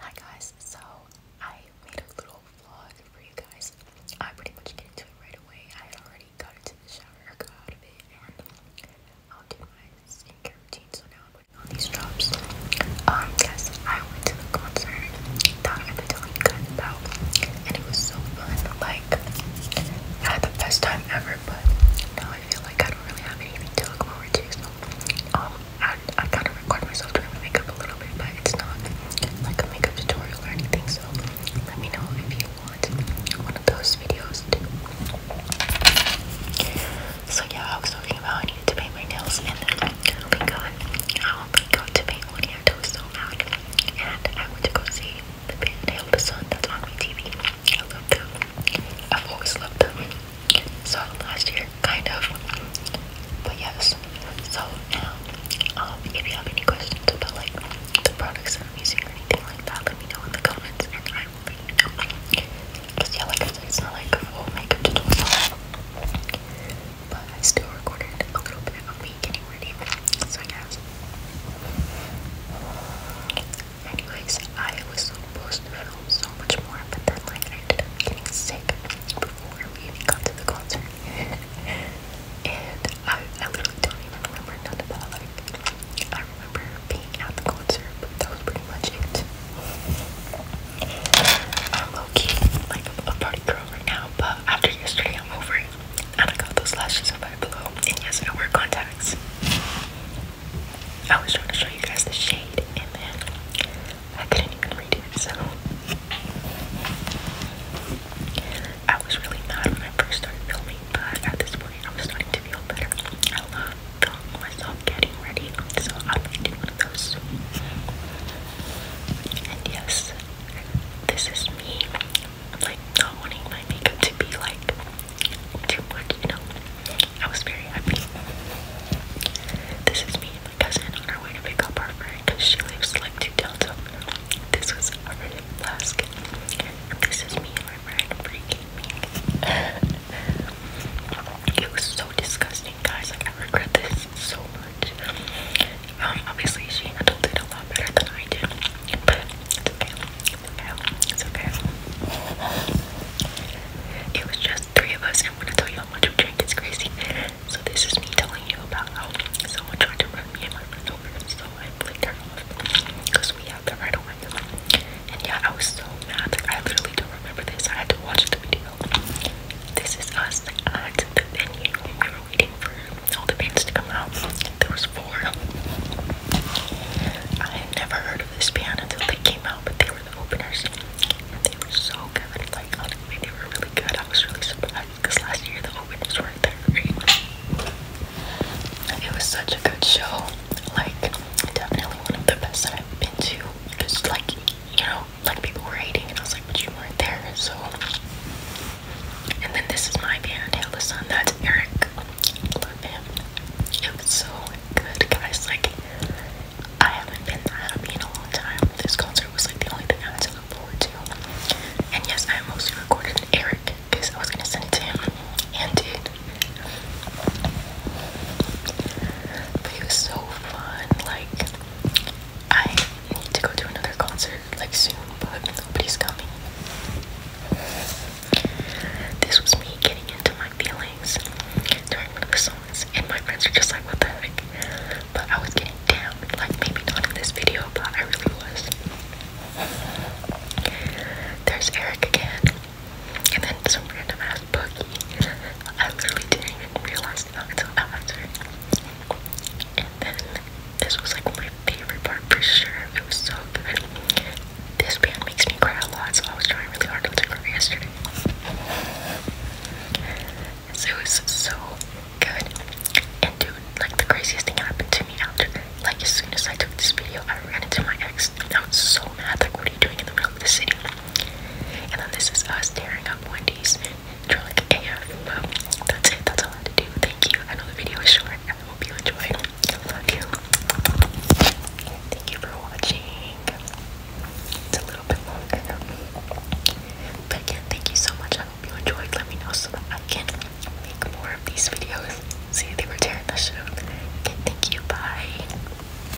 Hi guys, so I made a little vlog for you guys. I pretty much get into it right away. I had already got into the shower, got out of it, and I'll do my skincare routine. So now I'm putting on these drops. Um, yes, I went to the concert that I've been telling you guys about, and it was so fun. Like, I had the best time ever, but now I feel like I don't really have anything to look forward to. So, um, I, I kind of record myself doing my makeup a little bit, but it's not like a makeup tutorial or anything. So let me know if you want one of those videos So yeah, I was talking about I needed to paint my nails, and then we got I um, only to paint one hand. so mad, and I went to go see the band Nail the Sun that's on my TV. I love them. I've always loved them. So last year, kind of. But yes. So now, um, um, if you have any questions about like the products that I'm using or anything like that, let me know in the comments and I will let you know. Because yeah, like I said, not like a tutorial. But I still recorded a little bit of me getting ready. So yes. Anyways, I was supposed to film so much more, but then like I got sick before we even got to the concert. and I, I literally don't even remember none of that. Like I remember being at the concert, but that was pretty much it. I'm low key like a party girl right now, but after yesterday I'm over it. And I got those lashes of my below, and yes, I wear contacts. I was trying to show you guys the shade, and then I couldn't even read it, so I was really mad when I first started filming, but at this point, I'm starting to feel better. I love filming myself getting ready, so I might do one of those soon. And yes, this is me i like not wanting my makeup to be like too much, you know. I was very happy. This is me and my cousin on our way to pick up our friend because she lives like two towns over. This was our flask. This is me and my friend freaking me. it was so disgusting, guys. Like I regret this so much. Um, obviously she handled it a lot better than I did, It was just three of us, and I'm gonna tell you how much we drink It's crazy. So this is me telling you about how someone tried to run me and my friend over, so I flicked her off because we have the right away. And yeah, I was so mad. I literally don't remember this. I had to watch the video. This is us at the venue waiting for all the bands to come out. There was four. I had never heard of this band until they came out, but they were the openers. And they were so good. Like they were really good. I was really surprised because last year the openers weren't that great. It was such a good show. Like definitely one of the best that I've been to. Because like you know, like people were hating, and I was like, but you weren't there, so and then this is my band, Hail the Sun. That's Eric. Love him. It was so good, guys. Like, I haven't been that happy in a long time. This concert was like the only thing I had to forward to. And yes, I mostly recorded Eric because I was gonna send it to him and did. But it was so fun. Like, I I need to go to another concert like soon, but nobody's coming. This was me getting into my feelings during one of the songs, and my friends are just like, what the heck? But I was getting down, like maybe not in this video, but I really was. There's Eric again, and then some random ass boogie. I literally didn't even realize after. And then this was like my favorite part for sure. It was so good. This band makes me cry a lot, so I was trying really hard not to cry yesterday. So it was so good. And dude, like the craziest thing happened to me after like as soon as I took this video I ran into my ex. I was so mad, like what are you doing in the middle of the city? And then this is us tearing up Wendy's drunk AF. that's it. That's all I had to do. Thank you. I know the video is short. I hope you enjoyed. Love you. Thank you for watching. It's a little bit longer. But again, thank you so much. I hope you enjoyed. Let me know so that I can make more of these videos. See, they were tearing the shit Okay, thank you. Bye.